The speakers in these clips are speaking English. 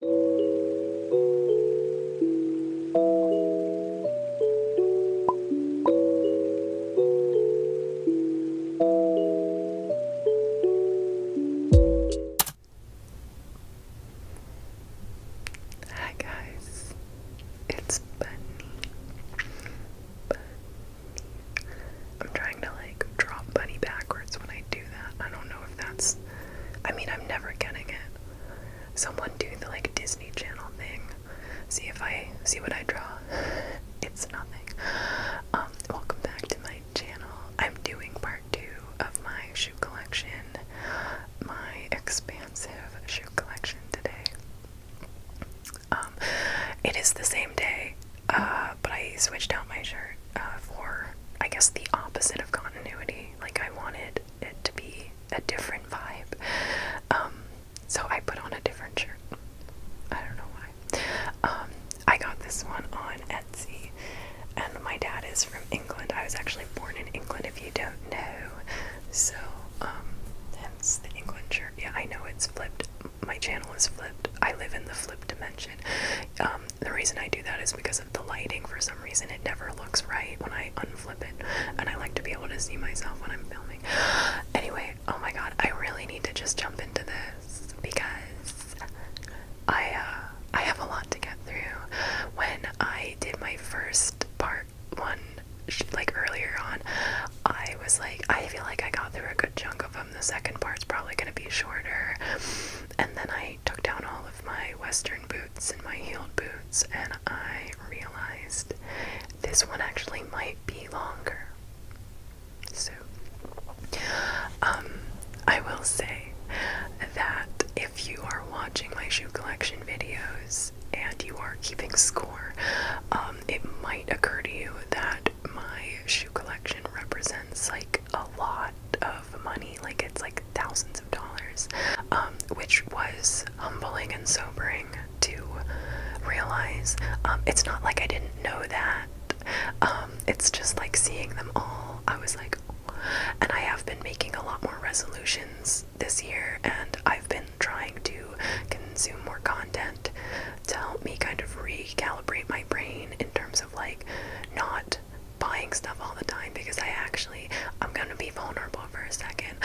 Hi guys, it's Bunny. I'm trying to like drop Bunny backwards when I do I don't know if that's. I mean, I'm never getting it. Someone do the like Disney Channel thing. See if I see what I draw. it's nothing. Um, welcome back to my channel. I'm doing part two of my shoe collection, my expansive shoe collection today. Um, it is the same day, uh, but I switched out my shirt uh, for, I guess, the opposite of continuity. Like I wanted it to be a different vibe. Um, so I put on a different shirt. I don't know why. Um, I got this one on Etsy, and my dad is from England. I was actually born in England, if you don't know. So, um, hence the England shirt. Yeah, I know it's flipped. My channel is flipped. I live in the flip dimension the reason I do that is because of the lighting. For some reason, it never looks right when I unflip it, and I like to be able to see myself when I'm filming. Anyway, oh my god, I really need to just jump into this because I uh, I have a lot to get through. When I did my first part one, like earlier on, I was like, I feel like I got through a good chunk of them. The second part's probably gonna be shorter, and then I I took down all of my western boots and my heeled boots, and I realized this one actually might be longer. So, um, I will say that if you are watching my shoe collection videos and you are keeping score, um, it might occur to you that my shoe collection represents like a lot of money, like it's like thousands dollars, um, which was humbling and sobering to realize. Um, it's not like I didn't know that. Um, it's just like seeing them all. I was like, and I have been making a lot more resolutions this year, and I've been trying to consume more content to help me kind of recalibrate my brain in terms of like not buying stuff all the time because I actually, I'm gonna be vulnerable for a second.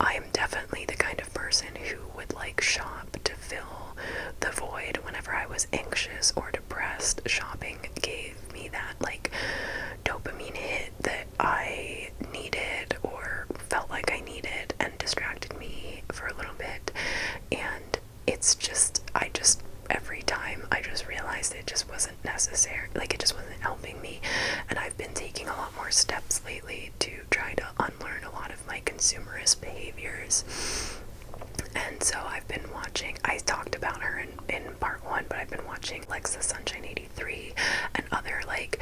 I am definitely the kind of person who would like shop to fill the void whenever I was anxious or depressed. Shopping gave me that like dopamine hit that I needed or felt like I needed and distracted me for a little bit. And it's just, I just every time I just realized it just wasn't necessary. Like, it just wasn't helping me. And I've been taking a lot more steps lately to try to unlearn a lot of my consumerist behaviors. And so I've been watching, I talked about her in, in part one, but I've been watching Lexa Sunshine 83 and other like,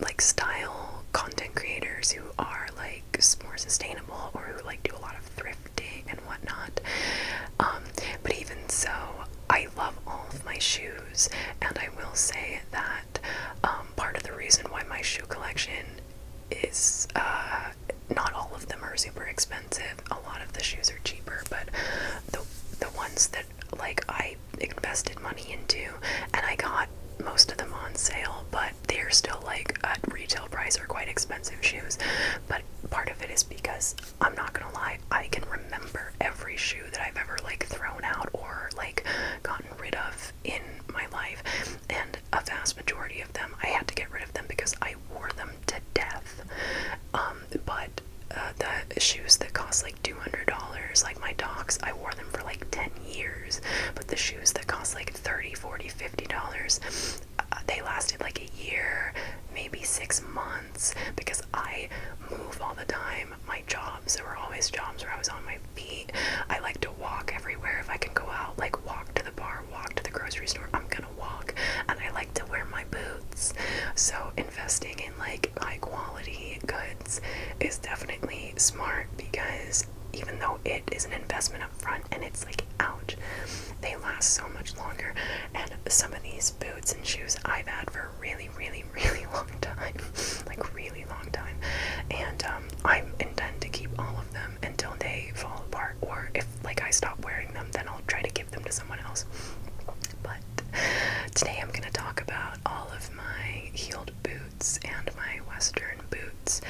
like style content creators who are like more sustainable or who like do a lot of thrifting whatnot. Um, but even so, I love all of my shoes, and I will say that um, part of the reason why my shoe collection is uh, not all of them are super expensive. A lot of the shoes are cheaper, but the the ones that like I invested money into, and I got most of them on sale, but they're still like at retail price or quite expensive shoes. But part of it is because I'm not gonna lie, I can remember every shoe that I've ever like thrown out or like gotten rid of in my life, and a vast majority of them I had to get rid of them because I wore them to death. Um, but uh, the shoes that cost like two hundred dollars, like my docs, I wore them for like ten years. But the shoes that cost like thirty, forty, fifty dollars, uh, they lasted like a year, maybe six months because I move all the time. My jobs, there were always jobs where I was on my feet. I like to walk everywhere if I can go out, like walk to the bar, walk to the grocery store. I'm gonna walk, and I like to wear my boots. So, investing in like high quality goods is definitely smart because even though it is an investment up front and it's like ouch, they last so much longer. And some of these boots boots and shoes I've had for a really, really, really long time. like, really long time. And um, I intend to keep all of them until they fall apart. Or if, like, I stop wearing them, then I'll try to give them to someone else. But today I'm going to talk about all of my heeled boots and my western boots.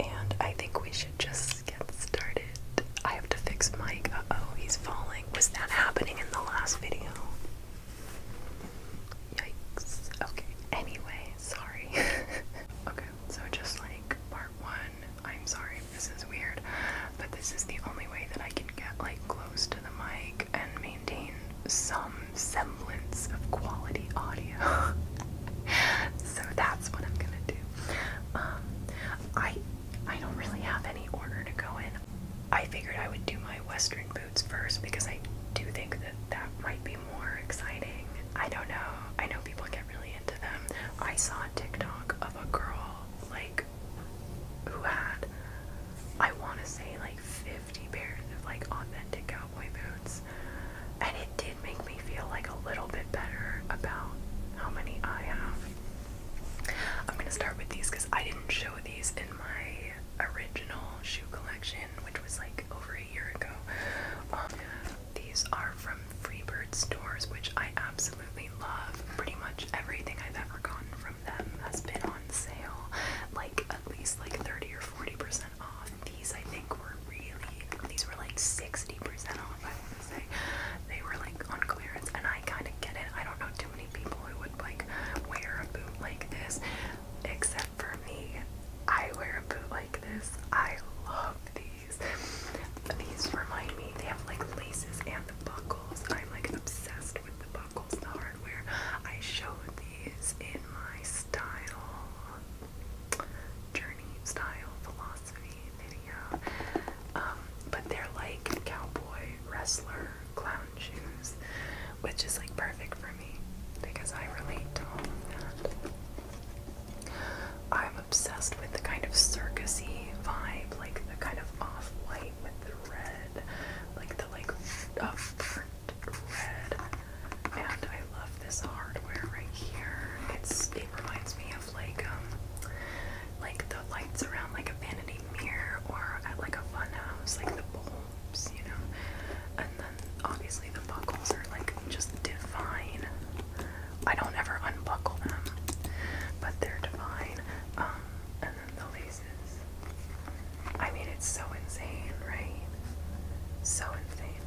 And I think we should just get started. I have to fix Mike. oh, he's falling. Was that happening in the last video? Yikes. Okay, anyway, sorry. okay, so just like part one, I'm sorry this is weird, but this is the only way that I can get like close to the mic and maintain some semblance of quality audio. so that's what I'm gonna do. Um, I I don't really have any order to go in. I figured I would do my Western boots first because I do think that that might be more exciting. I don't know. I know people get really into them. I saw a TikTok of a girl like who had I want to say like 50 pairs of like authentic cowboy boots, and it did make me feel like a little bit better about how many I have. I'm gonna start with these because I didn't show these in my original shoe collection, which was like over a year ago. Um, these are from Freebird stores, which I absolutely love. Pretty much everything I've ever gotten from them has been on sale, like at least like 30 or 40 percent off. These I think were really these were like 60 percent off. I want to say they were like on clearance, and I kind of get it. I don't know too many people who would like wear a boot like this, except for me. I wear a boot like this. I love these. These remind me, they have like laces and the buckles. I'm like obsessed with the buckles, the hardware. I showed these in my style, journey style, philosophy video. Um, um, but they're like cowboy wrestler clown shoes, which is like perfect for me because I relate to all of that. I'm obsessed with the kind of circusy vibe, like the kind of off-white with the red, like the like upburnt red. And I love this hardware right here. It's it reminds me of like um like the lights around like a vanity mirror or at like a fun house, like the bulbs, you know. And then obviously the buckles are like just divine. I don't ever unbuckle them, but they're divine. Um, and then the laces. I mean, it's so insane, right? So insane.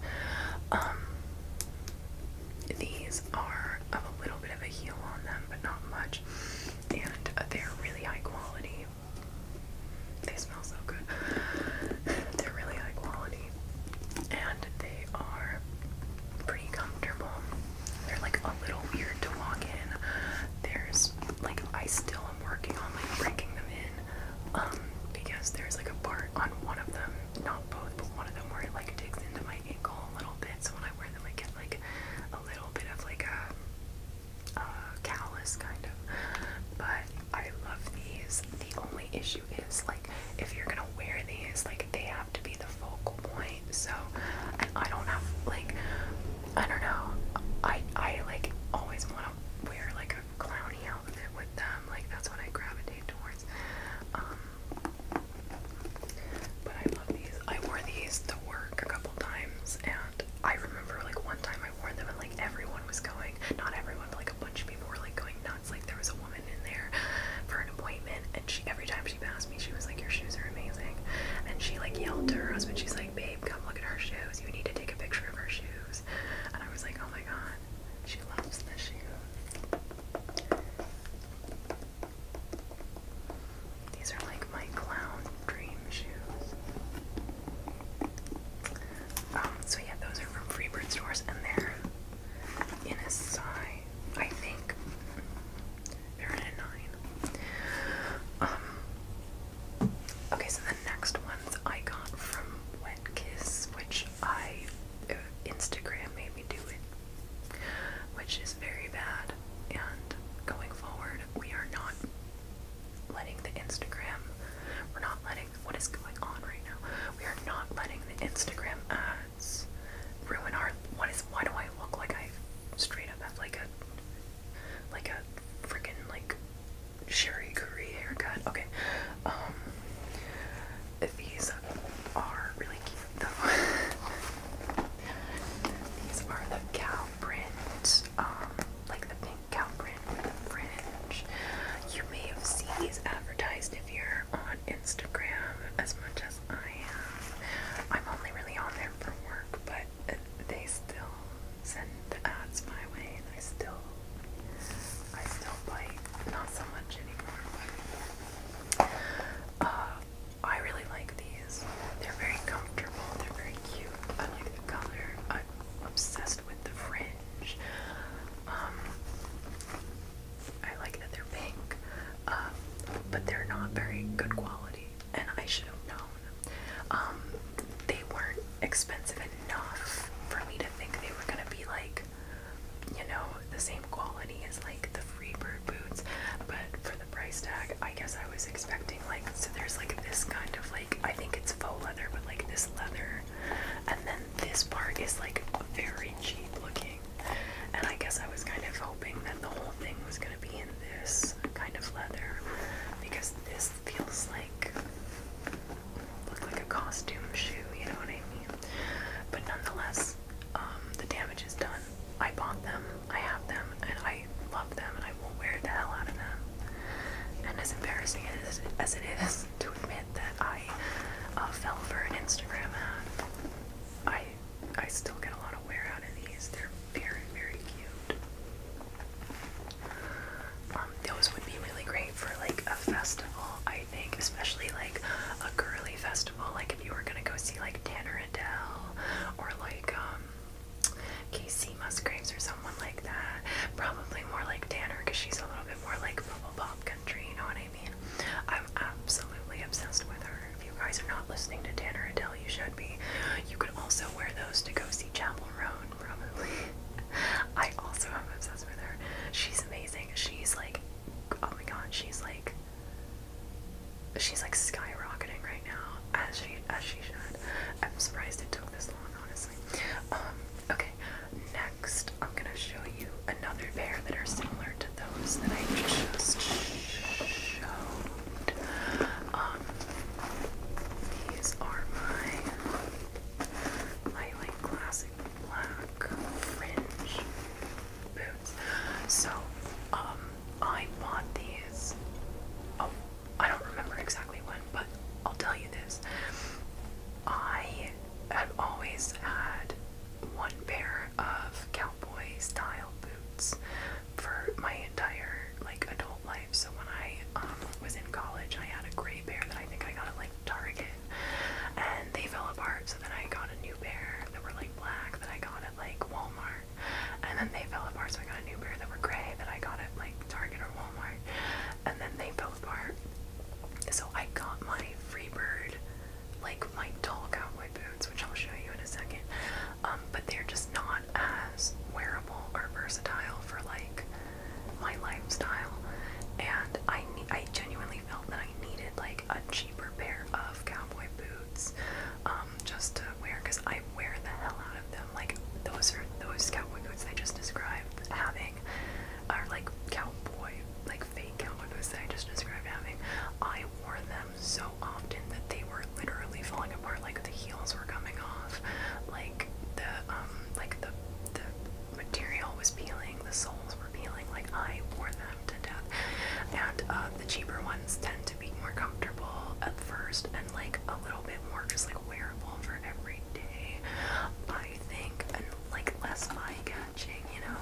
Um, these are of a little bit of a heel on them, but not much and uh, they're really high quality. They smell so good. They're really high quality, and they are pretty comfortable. They're like a little weird to walk in. There's like I still am working on like breaking them in, um, because there's like a part on one of them, not both, but one of them where it like digs into my ankle a little bit. So when I wear them, I get like a little bit of like a, a callus kind of, but I love these. The only issue is like if you're gonna wear these, like they have to be the focal point. So and I don't have like I don't know. I I like always want to wear like a clowny outfit with them. Like that's what I gravitate towards. Um, but I love these. I wore these to work a couple times, and I remember like one time I wore them, and like everyone was going. Not everyone, but like a bunch of people were like going nuts. Like there was a woman in there for an appointment, and she every time she passed me, she was like, "Your shoes are amazing," and she like yelled to her husband, "She's like, babe, come look at her shoes. You need to take a picture of her shoes." And I was like, "Oh my god, she loves the shoes." These are like my clown dream shoes. Um, so yeah, those are from Freebird stores and they're in a size, I think. they um, okay, so the next ones I got from Wet Kiss, which I, uh, Instagram made me do it, which is very bad and going forward, we are not letting the Instagram, we're not letting what is going on right now. We are not letting the Instagram ads ruin our. What is? Why do I look like I straight up have like a like a freaking like Sherry Curry haircut? Okay, um, these are really cute These are the cow prints, um, like the pink cow print You may have seen these advertised if you're on Instagram as much as I am. I'm only really on there for work, but they still send the ads my way, and I still, I still bite. Not so much anymore, but. Uh, I really like these. They're very comfortable. They're very cute. I like the color. I'm obsessed with the fringe. Um, I like that they're pink, um, but they're not very good quality, and I should have known. Um, they weren't expensive enough for me to think they were gonna be like, you know, the same quality as like the Freebird boots, but for price tag. I guess I was expecting like so there's like this kind of like I think it's faux leather but like this leather and then this part is like very cheap looking. And I guess I was kind of hoping that the whole thing was gonna be in this kind of leather because this feels like look like a costume shoe, you know what I mean? But nonetheless, um, the damage is done I bought them, I have them, and I love them, and I will wear the hell out of them. And as embarrassing as, it is to admit that I uh, fell for an Instagram ad, I I still get a lot of wear out of these. They're very very cute. Um, those would be really great for like a festival, I think, especially like a girly festival. Like if you were gonna go see like Tanner Adele or like um Casey Musgraves or someone like that. Probably more like Tanner because she's a little bit more like bubble pop country, you know what I mean? I'm absolutely obsessed with her. If you guys are not listening to Tanner Adele, you should be. You could also wear those to go see Chapel Road. probably. I also am obsessed with her. She's amazing. She's like, oh my god, she's like she's like skyrocketing right now, as she as she should. I'm surprised it took this long, honestly. Um, okay, next I'm gonna show you another pair that are similar to those that I just showed. Um, these are my my like classic black fringe boots. So, um, I bought these. Oh, I don't remember exactly when, but I'll tell you this. I have always had one pair of cowboy style boots for my entire like adult life. So when I um, was in college, I had a gray pair that I think I got at like Target, and they fell apart. So then I got a new pair that were like black that I got at like Walmart, and then they fell apart. So I got a new pair that were gray that I got at like Target or Walmart, and then they fell apart. So I got my Freebird, like my tall cowboy boots, which I'll show you in a second. Um, but they're just not as wearable or versatile for like my lifestyle, and I I genuinely felt that I needed like a cheaper pair of cowboy boots um, um, just to wear because I wear the hell out of them. Like those are those cowboy boots I just described having are like cowboy, like fake cowboy boots that I just described having. I wore them so often that they were literally falling apart. Like the heels were coming off. Like the um, like the the material was peeling. The soles were peeling. Like I wore them to death. And uh, the cheaper one tend to be more comfortable at first and like a little bit more just like wearable for every day, I think, and like less eye-catching, you know.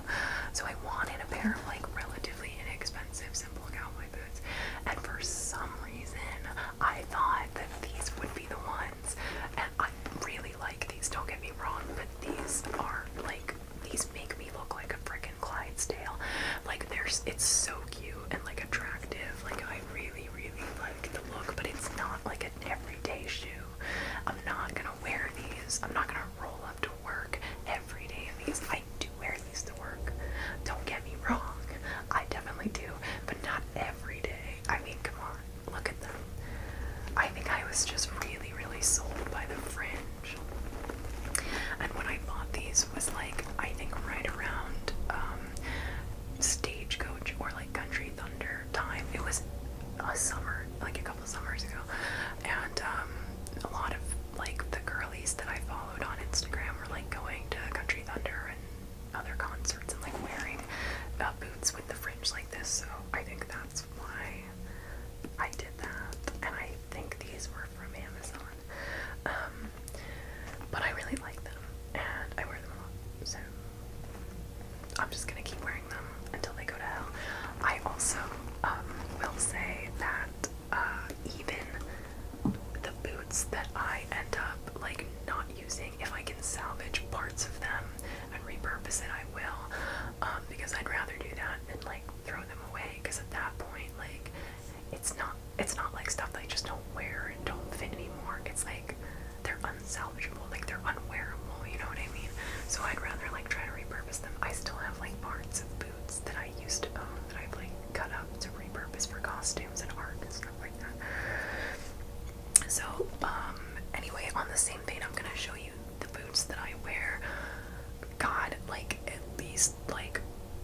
So I wanted a pair of like relatively inexpensive simple cowboy boots, and for some reason I thought that these would be the ones, and I really like these. Don't get me wrong, but these are like these make me look like a friggin'. Clydesdale. Like there's it's so cute and like attractive. Like I really, really like the look, but it's not like an everyday shoe. I'm not gonna wear these. I'm not gonna roll up to work every day in these. I do wear these to work. Don't get me wrong. I definitely do, but not every day. I mean, come on, look at them. I think I was just really, really sold by the fringe. And when I bought these this was like I think right around um, stagecoach or like country thunder time. It was a summer, like a couple summers ago, and um, a lot of like the girlies that I followed on Instagram were like going to country thunder and other concerts and like wearing uh, boots with the fringe like this. So I think that's why I did that, and I think these were from Amazon. Um, but I really like them and I wear them a lot. So I'm just gonna keep wearing them until they go to hell. I also um, will say that uh, even the boots that I end up like not using, if I can salvage parts of them and repurpose it, I will. Um, because I'd rather do that than like throw them away. Because at that point, like it's not it's not like stuff that I just don't wear and don't fit anymore. It's like they're unsalvageable, like they're unwearable, you know what I mean? So I'd rather like try to repurpose them. I still have like parts of boots that I used to own that I've like cut up to repurpose for costumes and art and stuff like that. So, um, anyway, on the same vein, I'm gonna show you the boots that I wear. God, like at least like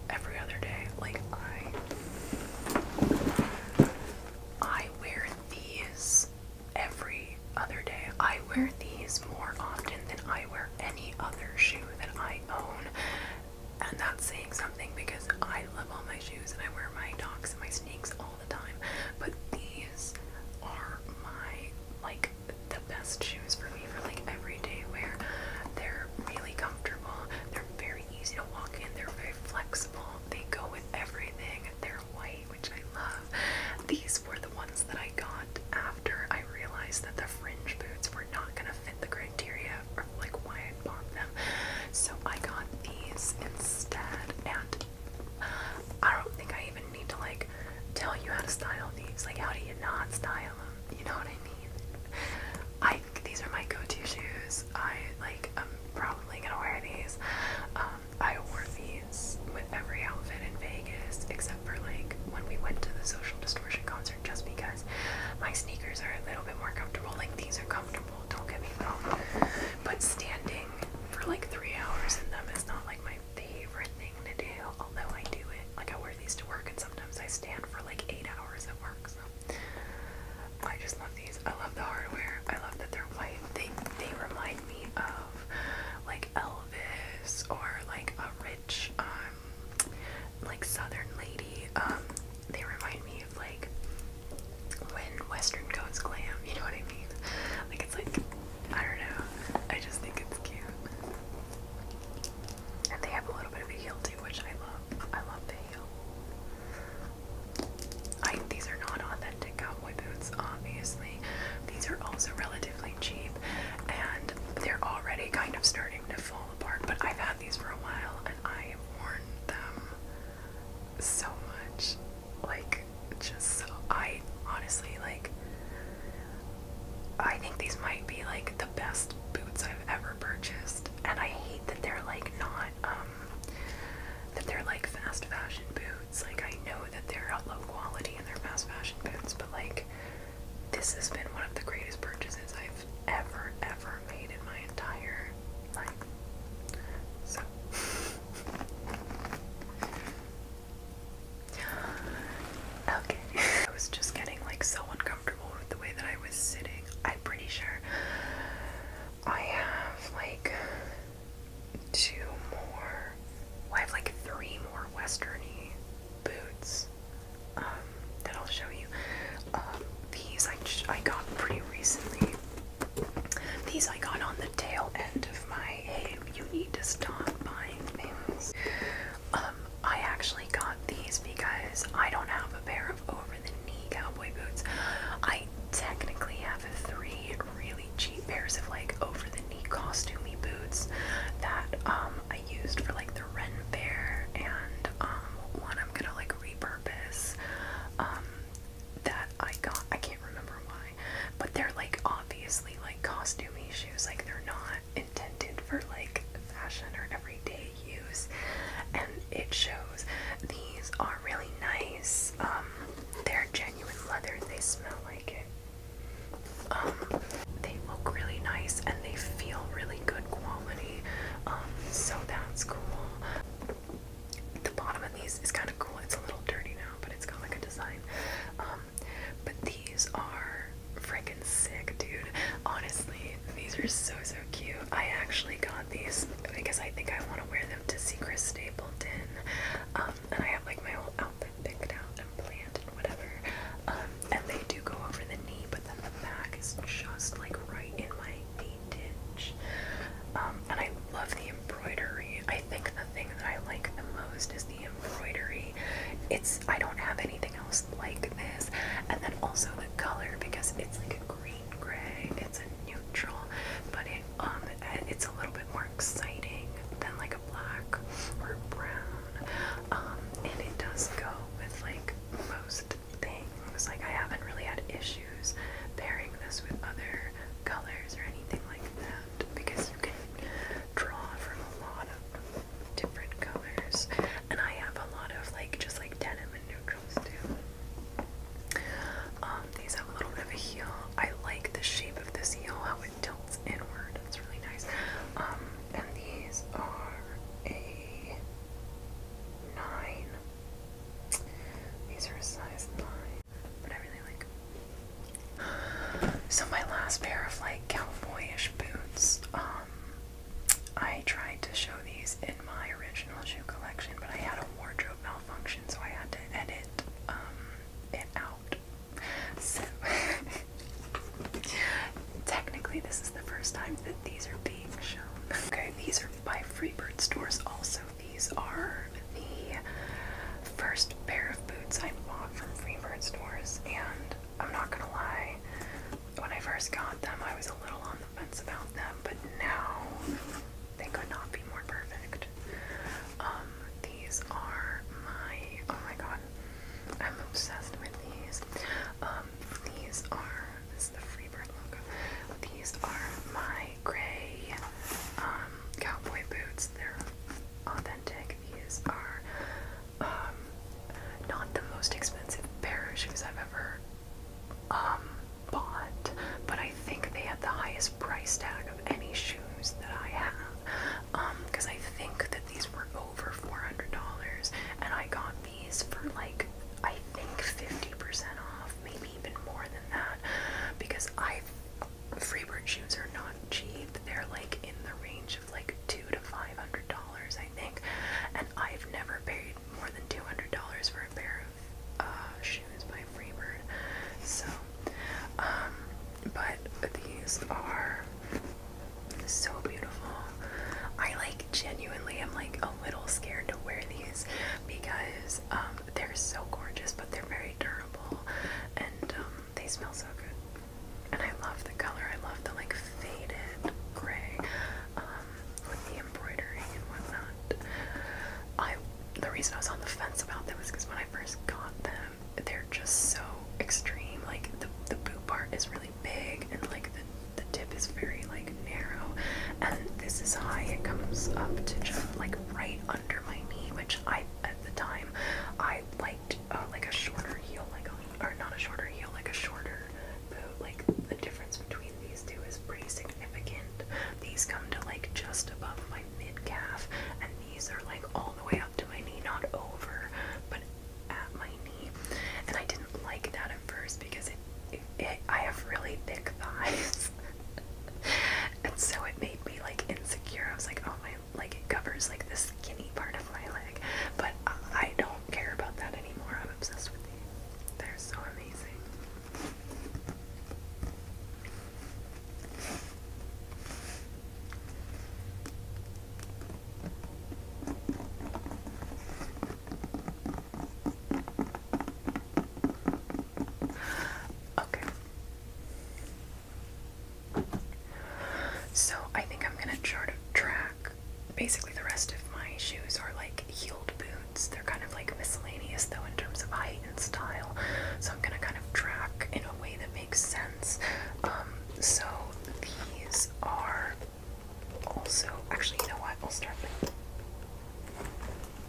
every other day. Like I I wear these every other day. I wear these more often than I wear any other shoe that I own. And that's saying something because I love all my shoes and I wear my docs and my sneaks all the time. But these are my like the best shoes for me for like everyday wear. They're really comfortable. They're very easy to walk in. They're very flexible. They go with everything. They're white, which I love. These were the ones that I got after I realized that the fringe boots were not gonna fit the criteria or like why I bought them. So I got these instead and I don't think I even need to like tell you how to style these. Like how do you not style them? You know what I mean? I these are my go-to shoes. I like I'm probably gonna wear these. Um, I wore these with every outfit in Vegas except for like when we went to the Social Distortion concert just because my sneakers are a little bit more comfortable. Like these are comfortable, don't get me wrong. But standing for like three hours in them is not like my favorite thing to do, although I do it. Like I wear these to work and sometimes I stand for like eight hours at work, I just love these. I love the hardware. I love that they're white. They they remind me of like Elvis or like a rich um, like southern lady. Um, they remind me of like when Western goes glam, you know what I mean? Like it's like I don't know. I just think it's cute. And they have a little bit of a heel too, which I love. I love the I, these are not authentic cowboy boots, obviously. These are also relatively cheap and they're already kind of starting to fall apart, but I've had these for a while and I have worn them so much. Like, just so. I honestly, like, I think these might be like the best boots I've ever purchased, and I hate that they're like not um, that they're like fast fashion boots. Like I know that they're low quality and they're fast fashion boots, but like this has been one of the greatest purchases I've ever ever made in my entire life. Okay. I was just getting like so uncomfortable the way that I was sitting. I'm pretty sure I have like two more. I have like three more westerny boots um, that I'll show you. Um, these I got pretty recently. These I got on the tail end of my you need to stop buying things. Um, I actually got these because I don't have a pair of over the knee cowboy boots. I technically have three really cheap pairs of like over the knee costumey boots that um, I used for like the Ren Fair and um, one I'm gonna like repurpose um, that I got I can't remember why but they're like obviously like costumey shoes like they're not intended for like fashion or everyday use and it shows these are really nice um, they're genuine leather they smell like it um, they look really nice and they feel really good quality um, so that's cool the bottom of these is kind of cool it's a little dirty now but it's got like a design but these are freaking sick dude honestly these are so cute. I actually got these because I think I want to wear them to see Chris Stapleton. Um, and I have like my whole outfit picked out and planned and whatever. Um, and they do go over the knee, but then the back is just like right in my knee ditch. Um, and I love the embroidery. I think the thing that I like the most is the embroidery. It's I don't have anything else like this, and then also the color because it's like a green gray. It's a neutral, but it um it's a little bit more exciting than like a black or brown. Um, and it does go with like most things. Like I haven't really had issues pairing this with other colors or anything like that because you can draw from a lot of different colors. And I have a lot of like just like denim um, these have a little bit of a heel. I like the shape of this heel, how it tilts inward. It's really nice. Um, and these are a nine. These are size nine, but I really like. So my last pair of like cowboyish boots. Um, I tried to show these in my original shoe collection, but I had a wardrobe malfunction, so I had to edit um, it out. So, technically, this is the first time that these are being shown. Okay, these are by Freebird stores. Also, these are the first pair of boots I bought from Freebird stores, and I'm not gonna lie, when I first got them, I was a little on compliments about them, but now they could not be more perfect. Um, these are my oh my god, I'm obsessed with these. Um, these are this is the Freebird logo. These are my gray um cowboy boots. They're authentic. These are um not the most expensive pair of shoes I've ever um, bought, but I think they had the highest price tag of any shoes that I have. Because um, I think that these were over $400, and I got these for like, I think 50% off, maybe even more than that. Because I, Freebird shoes are not cheap, they're like in the range of like two to five hundred dollars, I think. And I've never paid more than two hundred dollars for a pair of uh, shoes by Freebird. So, um, but these are so beautiful. I like genuinely am like a little scared to wear these because um, they're so gorgeous, but they're very durable and um, they smell so good. And I love the color. I love the like faded gray with the embroidering and whatnot. I the reason I was on the fence about them was because when I first got them, they're just so extreme. Like the the boot part is really big, and like the the tip is very like narrow, and this is high. It comes up to just like right under my knee, which I at the time I liked uh, like a shorter heel, like or not a shorter heel, like a shorter boot. Like the difference between these two is pretty significant. These come to like just above my mid calf, and these are like all the way up to my knee, not over, but at my knee. And I didn't like that at first because it, it, it I have really thick thighs, and so it made me like insecure. I was like, oh my, like it covers like the skinny part of my leg, but I don't care about that anymore. I'm obsessed with these. They're so amazing. Okay. So I think I'm gonna chart a track basically the rest of my shoes are like heeled boots. They're kind of like miscellaneous though in terms of height and style. So I'm gonna kind of track in a way that makes sense. Um, so these are also actually you know what? i will start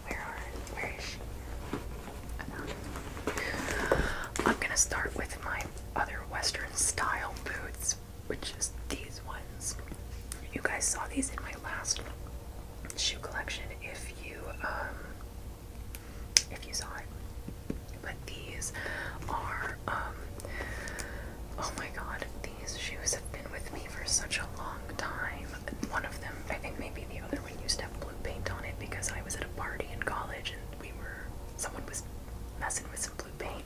where are where is she? I'm gonna start with my other Western style boots, which is these ones pins. You guys saw these in my last shoe collection if you um if you saw it. But these are um oh my god, these shoes have been with me for such a long time. One of them, I think maybe the other one used to have blue paint on it because I was at a party in college and we were someone was messing with some blue paint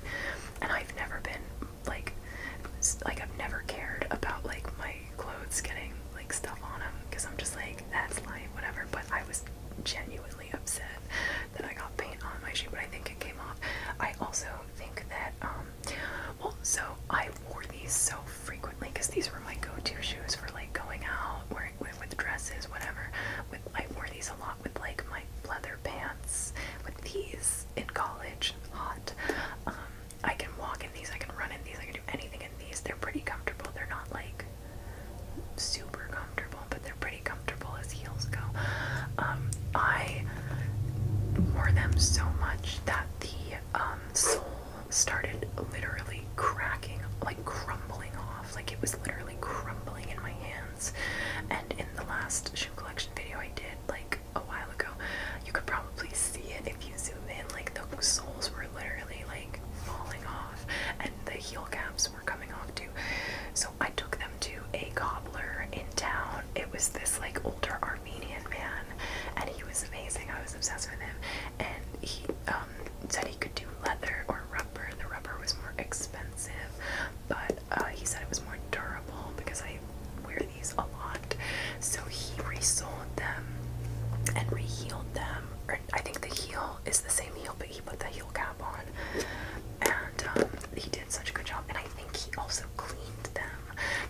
and I've never been like like I've never cared about like my clothes getting like stuff on them because I'm just like that's light whatever but I was genuinely upset that I got paint on my shoe but I think it came off I also think that um well so I wore these so frequently because these were my go-to shoes for like going out wearing with, with dresses whatever with I wore these a lot with like my leather pants with these in college hot um I can walk in these, I can run in these, I can do anything in these. They're pretty comfortable. They're not like super comfortable, but they're pretty comfortable as heels go. Um, I wore them so much that the um, sole started literally cracking, like crumbling off. Like it was literally crumbling in my hands. And in the last shoe collection video I did, like a while ago. You could probably see it if you zoom in. Like the soles were literally like falling off, and the heel caps were coming off too. So I took them to a cobbler in town. It was this like older Armenian man, and he was amazing. I was obsessed with him, and he um, said he could do leather or rubber. The rubber was more expensive, but uh, he said it was more durable because I. Wear a lot. So he resold them and rehealed them. I think the heel is the same heel, but he put the heel cap on. And um, he did such a good job. And I think he also cleaned them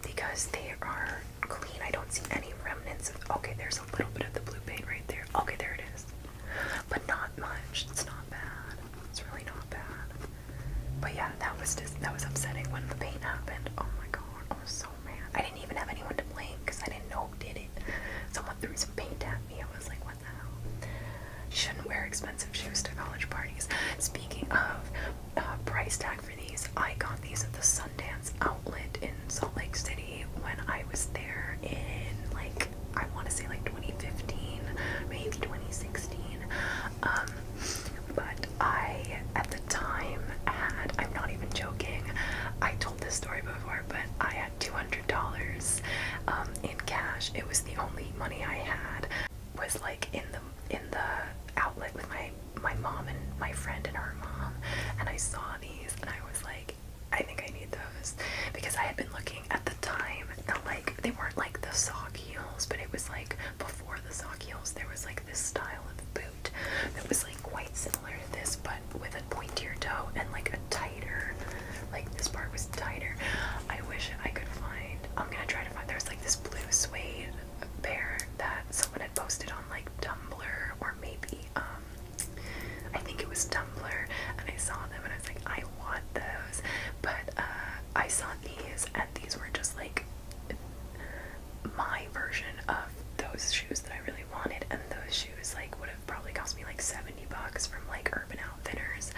because they are clean. I don't see any remnants of. Okay, there's a little bit of the blue paint right there. Okay, there it is. But not much. It's not bad. It's really not bad. But yeah, that was just that was upsetting when the paint happened. Oh my god. I was so mad. I didn't even have anyone to blame because I didn't know who did it. Someone threw some paint at me. I was like, what the hell? Shouldn't wear expensive shoes to college parties. Speaking of uh, price tag for these, I got these at the Sundance outlet in Salt Lake City when I was there in like I want to say like 2015, maybe 2016. Um, but I, at the time, had I'm not even joking, I told this story before, but I had $200 um, in cash. It was the only money I had, was like in the in the outlet with my my mom and my friend and her mom, and I saw these and I was like, I think I need those because I had been looking at the time at like they weren't like the sock heels, but it was like before the sock heels there was like this style of boot that was like quite similar to this, but with a point to your toe and like a tighter, like this part was tighter. I wish I could find. I'm gonna try to find. There's like this blue suede pair that someone had posted on like Tumblr or maybe um, I think it was Tumblr, and I saw them and I was like, I want those, but uh, I saw these and these were just like my version of those shoes that I really wanted, and those shoes like would have probably cost me like 70 bucks from like Urban Outfitters.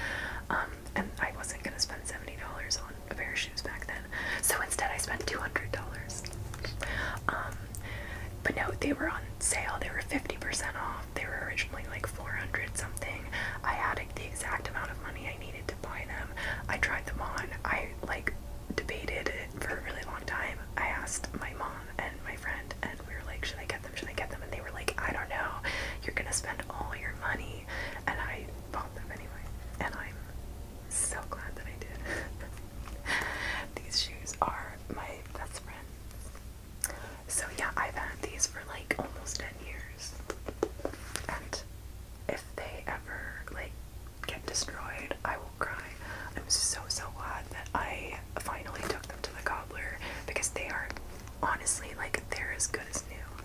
Um, and I wasn't gonna spend $70 on a pair of shoes back then, so instead I spent $200. Um, but no, they were on sale, they were 50% off, they were originally like 400 something. I had the exact amount of money I needed to buy them. I tried them on, I like debated it for a really long time. I asked my mom and my friend, and we were like, Should I get them? Should I get them? And they were like, I don't know. You're gonna spend all your money. And I bought them anyway. And I'm so glad that I did. these shoes are my best friend. So, yeah, I've had these for like almost 10 years. And if they ever like get destroyed, I will cry. I'm so so glad that I finally took them to the cobbler because they are honestly like they're as good as new.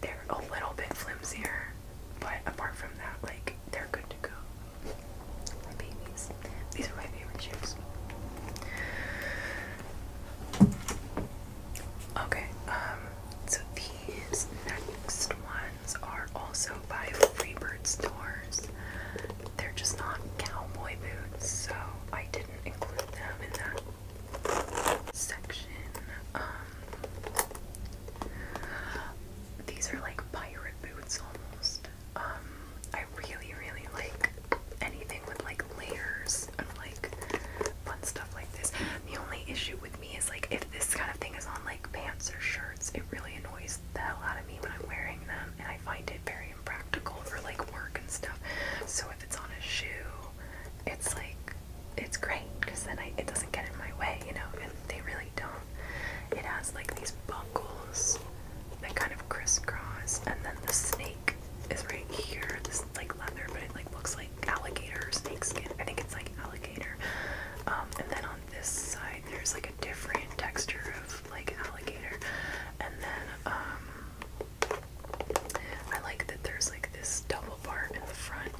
They're a little bit flimsier, but apart from that, like they're good to go. My babies. These are my favorite shoes. Okay, um, so these next one ones are also by Freebird stores. They're just not cowboy boots, so I didn't include them in that section. Um, these are like pirate boots almost. Um, I really, really like anything with like layers and like fun stuff like this. The only issue with with me is like if this kind of thing is on like pants or shirts, it really annoys the hell out of me when I'm wearing them, and I find it very impractical for like work and stuff. So if it's on a shoe, it's like it's great because then I, it doesn't get in my way, you know. And they really don't. It has like these buckles that kind of crisscross, and then the snake is right here. This like leather, but it like looks like alligator snake skin. I think it's like alligator. Um, and then on this side there's like a different texture of like alligator and then um I like that there's like this double part in the front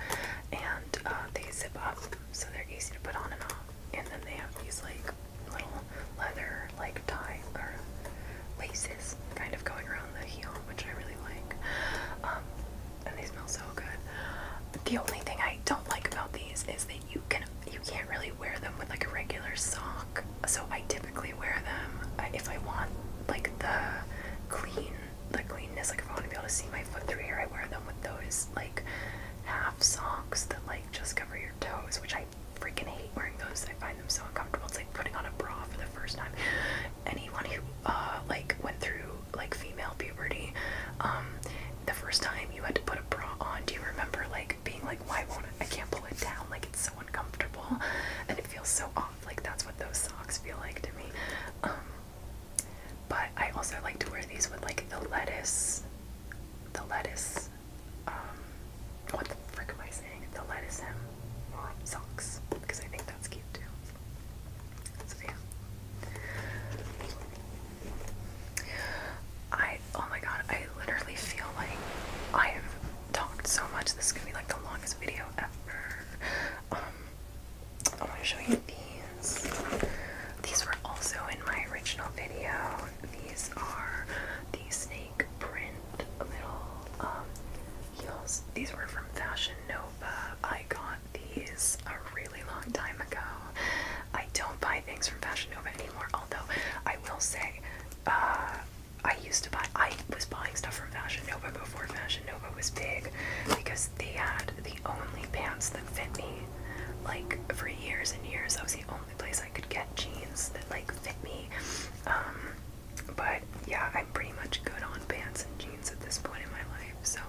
and uh, they zip up so they're easy to put on and off and then they have these like little leather like tie or laces kind of going around the heel which I really like um and they smell so good. But the only thing I don't like about these is that you can you can't really wear them with like a regular sock. So I typically wear them uh, if I want like the clean the cleanness. Like if I want to be able to see my foot through here, I wear them with those like half socks that like just cover your toes, which I freaking hate wearing those. I find them so uncomfortable. It's like putting on a bra for the first time. Anyone who uh, like went through like female puberty, um, the first time you had to put a bra on, do you remember like being like, why won't I, I can't pull it down? Like it's so uncomfortable and it feels so off. Like that's what those socks feel like to me. Um, but I also like to wear these with like the lettuce, the lettuce, um, what the frick am I saying? The lettuce hem socks because I think that's cute too. I oh my god, I literally feel like I have talked so much. This is gonna be like the longest video ever. Um I want to show you these. These were also in my original video. These are the snake print little um heels. These were from Fashion Nova. I got these a really long time ago. I don't buy things from Fashion Nova anymore, although I will say, uh, I used to buy, I was buying stuff from Fashion Nova before Fashion Nova was big because they had the only pants that fit me. Like, for years and years, that was the only place I could get jeans that, like, fit me. Um, but yeah, I'm pretty much good on pants and jeans at this point in my life. So,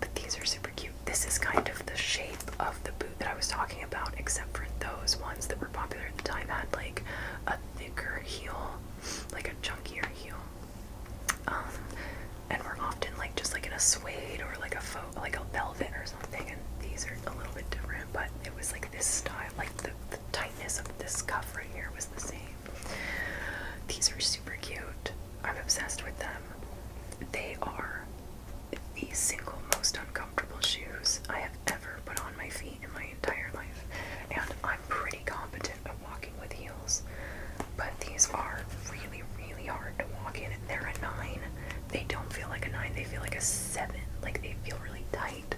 but these are super cute. This is kind of the shape of the boot that I was talking about, except for those ones that were popular at the time had like a thicker heel, like a chunkier heel. Um, and were often like just like in a suede or like a like a velvet or something. And these are a little bit different, but it was like this style, like the tightness of this cuff right here was the same. These are super cute. I'm obsessed with them. They are the single most uncomfortable shoes I have ever put on my feet in my entire life. And I'm pretty competent at walking with heels, but these are really, really hard to walk in. They're a nine. They don't feel like a nine, they feel like a seven. Like they feel really tight.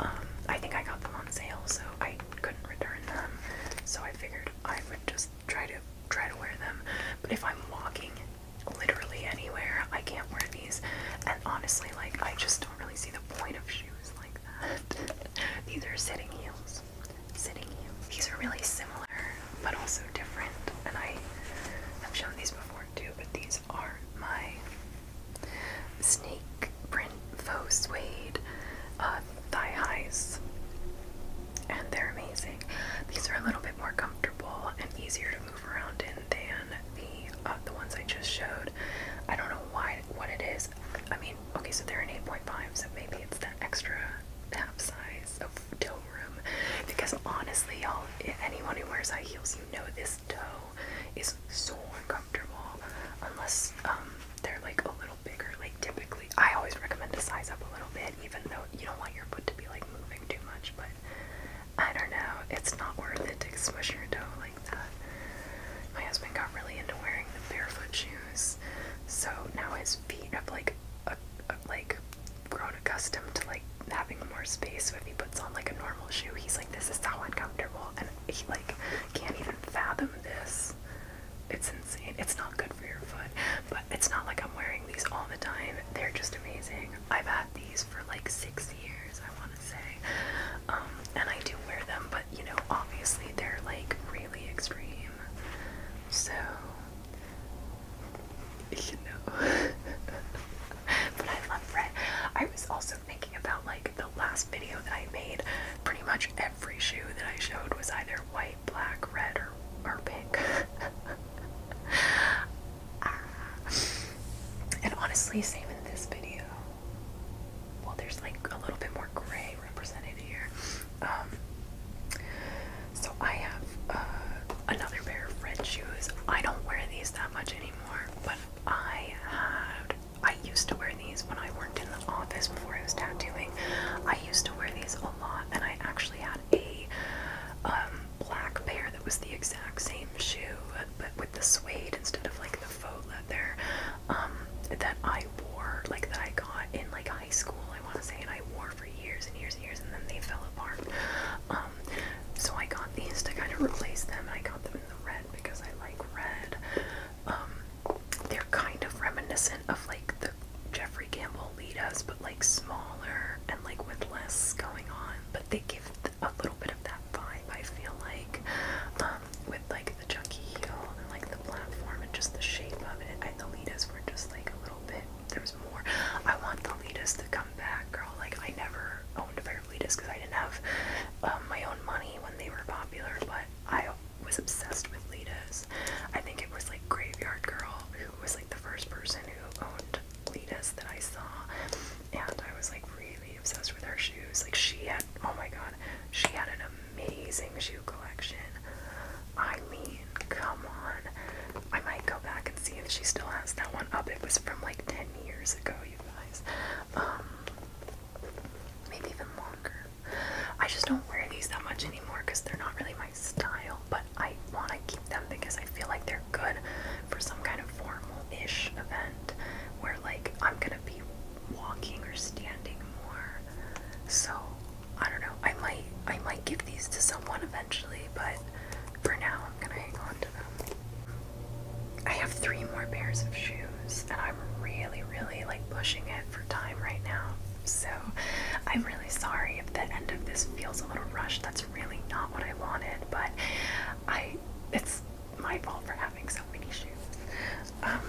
Um, I think I got them on sale, so I couldn't return them. So I figured I would just try to try to wear them. But if I'm walking literally anywhere, I can't wear these. And honestly, like I just don't really see the point of shoes like that. these are sitting heels. Sitting heels. These are really similar, but also different. And I have shown these before too, but these are my snake print faux suede uh, thigh highs and they're amazing. These are a little bit more comfortable and easier to move around in than the uh, the ones I just showed. I don't know why what it is. I mean, okay, so they're an 8.5, so maybe it's that extra half size of toe room. Because honestly, y'all, anyone who wears high heels, you know this toe is so uncomfortable unless um, they're like a little bigger. Like typically I always recommend to size up a little bit, even though you don't want your foot to be like moving too much, but I don't know, it's not worth it to squish your toe like that. My husband got really into wearing barefoot shoes, so now his feet have like like grown accustomed to like having more space. So if he puts on like a normal shoe, he's like, "This is so uncomfortable," and he like can't even fathom this. It's insane. It's not good for your foot, but it's not like I'm wearing these all the time. They're just amazing. I've had these for like six years, I want to say. Um, and I do wear them, but you know, obviously they're like really extreme. So, you know. but I love red. I was also thinking about like the last video that I made. Pretty much every shoe that I showed was either white black, red, or or pink. Ah. And honestly, same in this video. Well, there's like a little bit more gray represented here. Um, so I have uh, another pair of red shoes. I don't wear these that much anymore, but I had. I used to wear these when I worked in the office before I was tattooing. I used to wear these a lot, and I actually had had a um, black pair that was the exact same shoe but with the suede instead of like the faux leather um, that I wore, like that I got in like high school, I want to say, and I wore for years and years and years, and then they fell apart. Um, so I got these to kind of replace them, and I got them in the red because I like red. Um, they're kind of reminiscent reminiscent of like the Jeffrey Campbell Litas, but like smaller and like with less going on. But they give a little bit of that vibe, I feel like, um, with like the chunky heel and like the platform and just the shape of it. I, the Litas were just like a little bit, there was more. I want the Litas to come back, girl. Like, I never owned a pair of Litas because I didn't have um, my own money when they were popular, but I was obsessed with Litas. I think it was like Graveyard Girl who was the first person who owned Letus that I saw, and I was like really obsessed with her shoes. Like she had, oh my god, she had an amazing shoe collection. I mean, come on. I might go back and see if she still has that one up. It was from like 10 years ago, you guys. Um, maybe even longer. I just don't wear these that much anymore because they're not really my my style, but I want to keep them because I feel like they're good for some kind of formal-ish event where like I'm gonna be walking or standing more. So I don't know. I might I might give these to someone eventually, but for now I'm gonna hang on to them. I have three more pairs of shoes and I'm really, really like pushing it for time right now. So I'm really sorry if the end of this feels a little rushed. That's really not what I wanted, but I it's my fault for having so many shoes. Um,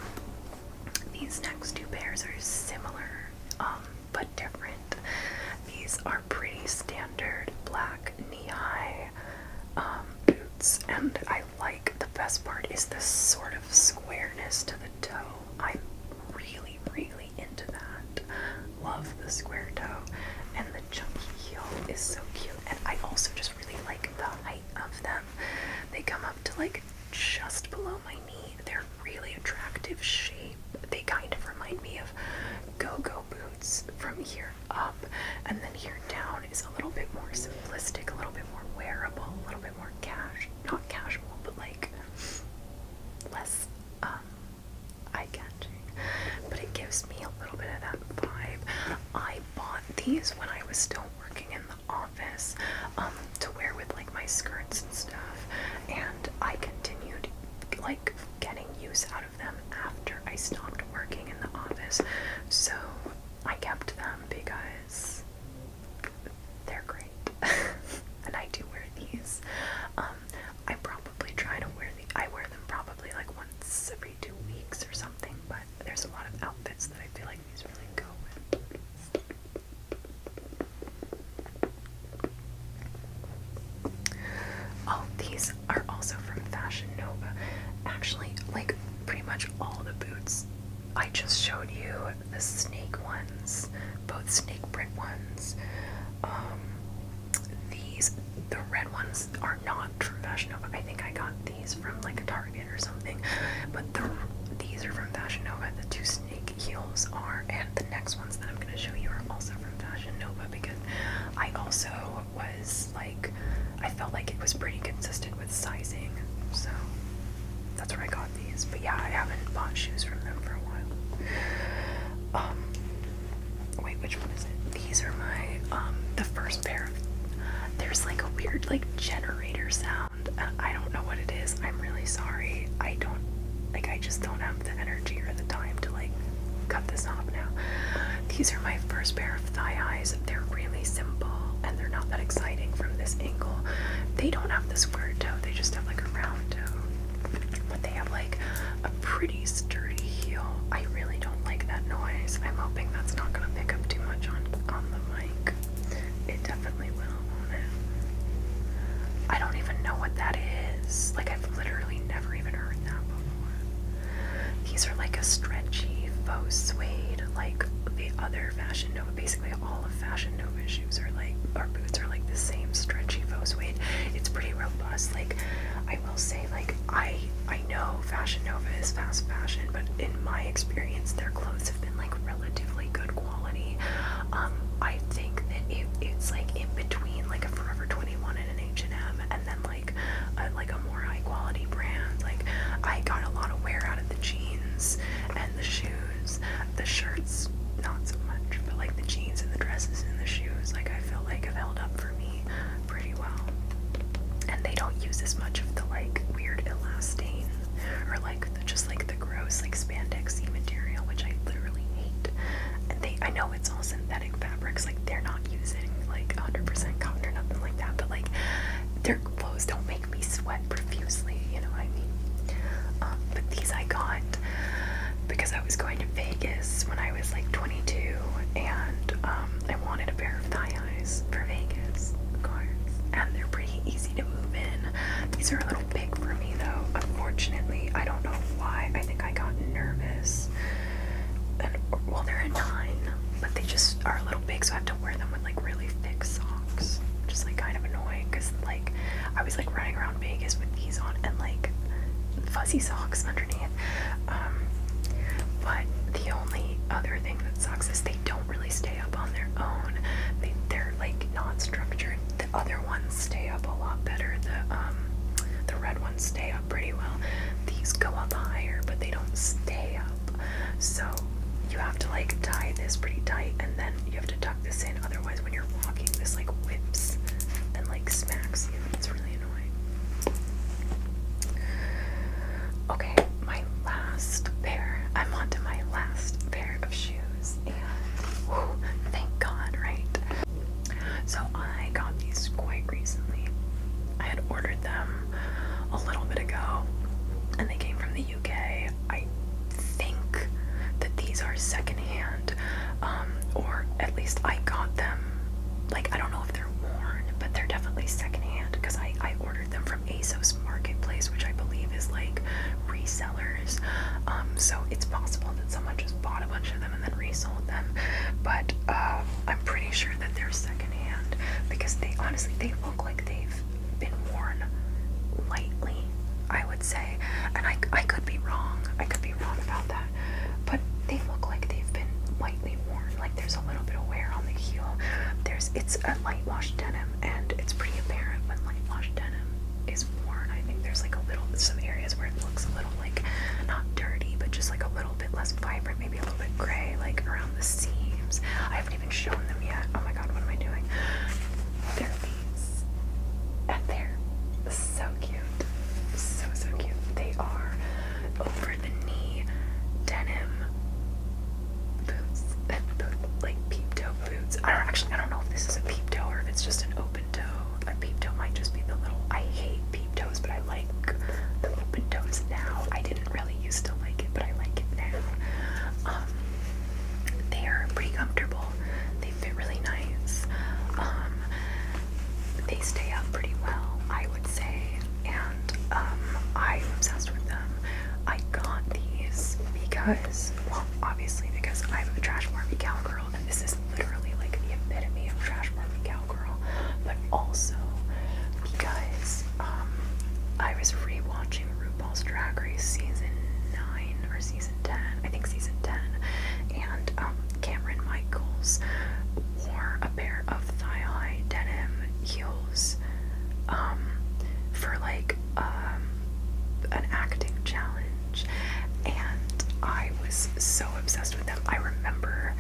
these next two pairs are similar um, but different. These are pretty standard black knee-high um, boots, and I like the best part is this sort of squareness to the toe. I really, really into that. Love the square toe and the chunky heel is so cute. And I also just really like the height of them. They come up to like just below my knee. They're really attractive shape. They kind of remind me of go-go boots from here up and then here down is a little bit more simplistic, a little bit more wearable, a little bit more cash not casual, but like less um, eye catching, but it gives me a little bit of that vibe. I bought these when I was still working in the office um, to wear with like my skirts and stuff, and I continued like getting use out of them after I stopped working in the office. So I kept them because they're great. and I do wear these. Um, I probably try to wear the I wear them probably like once every two weeks or something, but there's a lot of outfits that I feel like these really go with. All oh, these are also from Fashion Nova. Actually, like pretty much all the boots I just showed you the snake ones, both snake print ones, um, these, the red ones are not from Fashion Nova. I think I got these from like a Target or something. But the, these are from Fashion Nova. The two snake heels are, and the next ones that I'm going to show you are also from Fashion Nova because I also was like, I felt like it was pretty consistent with sizing. So that's where I got these. But yeah, I haven't bought shoes from them for a while. Um, wait, which one is it? These are my, um, the first pair of, there's like a weird like generator sound. Uh, I don't know what it is. I'm really sorry. I don't, like I just don't have the energy or the time to like cut this off now. These are my first pair of thigh eyes. They're really simple and they're not that exciting from this angle. They don't have the square toe. They just have like a round toe. But they have like a pretty sturdy heel. I really don't like that noise. I'm hoping that's not gonna pick up too much on on the mic. It definitely will, will it? I don't even know what that is. Like I've literally never even heard that before. These are like a stretchy faux suede, like the other Fashion Nova, basically all of Fashion yoga shoes are like, or boots are like the same stretchy faux suede. It's pretty robust. Like, I will say, like, I I know Fashion Nova is fast fashion, but in my experience, their clothes have been like relatively good quality. Um, I think that it, it's like in between like a Forever 21 and an H&M, and then like a, like a more high quality brand. Like, I got a lot of wear out of the jeans and the shoes, the shirt skirts, not so much, but like the jeans and the dresses and the shoes, like I feel like have held up for me pretty well. And they don't use as much of the like weird elastane or like the, just like the gross like spandexy material, which I literally hate. And they, I know it's all synthetic fabrics, like they're not using like 100% cotton or nothing like that, but like their clothes don't make me sweat profusely, you know what I mean? Um, but these I got it because I was going to Vegas when I was like 22 and um, I wanted a pair of thigh highs for Vegas, of course. And they're pretty easy to move in. These are a little big for me though, unfortunately. I don't know why. I think I got nervous. And, well, they're a nine, but they just are a little big, so I have to wear them with like really thick socks. Just like kind of annoying because like I was like running around around Vegas with these on and like fuzzy socks underneath. Um, but the only other thing that sucks is they don't really stay up on their own. They, they're like not structured. The other ones stay up a lot better. The um, the red ones stay up pretty well. These go up higher, but they don't stay up. So you have to like tie this pretty tight, and then you have to tuck tuck this in, otherwise when you're walking this like whips and like smacks you. It's really annoying. Okay, my last pair. I'm on to my last pair of shoes and thank God, right? So I got these quite recently. I had ordered them a little bit ago and they came from the UK. I think that these are secondhand um, or at least I got them. Like I don't know if they're worn, but they're definitely secondhand because I I ordered them from ASOS Marketplace, which I believe is like resellers. Um, so it's possible that someone just bought a bunch of them and then resold them, but um, I'm pretty sure that they're secondhand because they honestly they look like they've been worn lightly. I would say and I, I could be wrong. I could be wrong about that. But they look like they've been lightly worn. Like there's a little bit of wear on the heel. There's it's a light wash denim, and it's pretty apparent when light wash denim is worn. I think there's like a little some areas where it looks a little like not dirty, but just like a little bit less vibrant, maybe a little bit gray, like around the seams. I haven't even shown them yet. Oh my god, what am I doing? Therapy they're so cute. So, so cute. They are over the knee denim boots. Like peep toe boots. I don't actually, I don't know if this is a peep toe or if it's just an open toe. A peep toe might just be the little, I hate peep toes, but I like the open toes now. I didn't really used to like it, but I like it now. Um, they are pretty comfortable. They fit really nice. Um, they stay up pretty well, I would say. And um, I'm obsessed with them. I got these because, well, obviously because I'm a trash Barbie cowgirl, and this is literally like the epitome of trash Barbie cowgirl. But also because um, I was rewatching RuPaul's Drag Race season nine or season. 10, I think season 10, and um, Cameron Michaels wore a pair of thigh-high denim heels um, for like um, an acting challenge, and I was so obsessed with them. I remember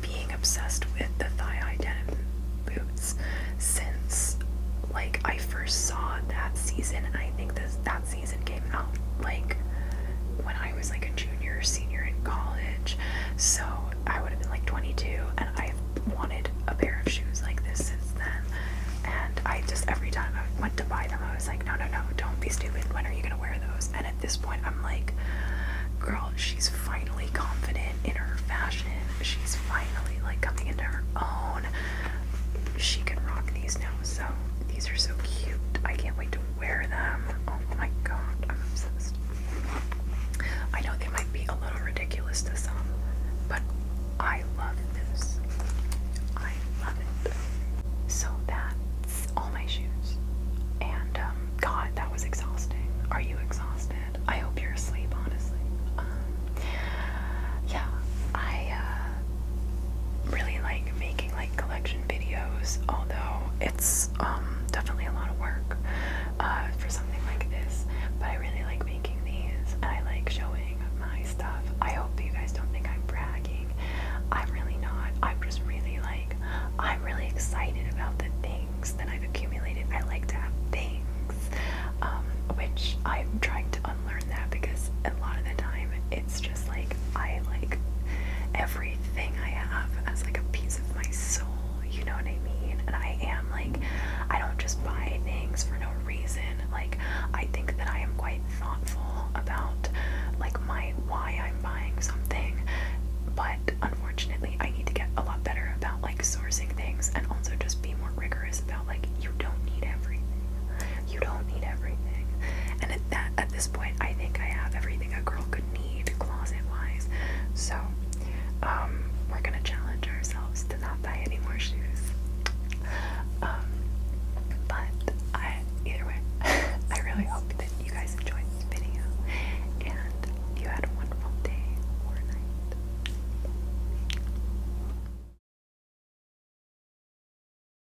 being obsessed with the thigh-high denim boots since like I first saw that season, I think this, that that season came out like when I was like a junior or senior in college. So I would have been like 22, and I've wanted a pair of shoes like this since then. And I just every time I went to buy them, I was like, no, no, no, don't be stupid. When are you gonna wear those? And at this point, I'm like, girl, she's finally confident in her fashion. She's finally like coming into her own. She can rock these now. So these are so cute. I can't wait to wear them. Oh my god, I'm obsessed. I know they might be a little ridiculous to some, but I love this. I love it. So that's all my shoes. And um, God, that was exhausting. Are you exhausted? I hope you're asleep, honestly. Um, yeah, I. Uh, really like making like collection videos, although it's um, definitely a lot of work uh, for something like this. But I really like making these, and I like showing my stuff. I hope you guys don't think I'm bragging. I'm really not. I'm just really like I'm really excited about the things that I've accumulated. I like to have things. Um, which I'm trying to unlearn that because a lot of the time it's just like I like everything I have as like a piece of my soul, you know what I mean? And I am like I don't just buy things for no reason. Like I think that I am quite thoughtful about like my why I'm buying something. But unfortunately I need to get a lot better about like sourcing things and also just be more rigorous about like you don't need everything. You don't need everything. And at that at this point I think I have everything a girl could need closet wise. So um we're gonna challenge ourselves to not buy any more shoes. Um but either way I really hope that you guys enjoyed this video and you had a wonderful day or night.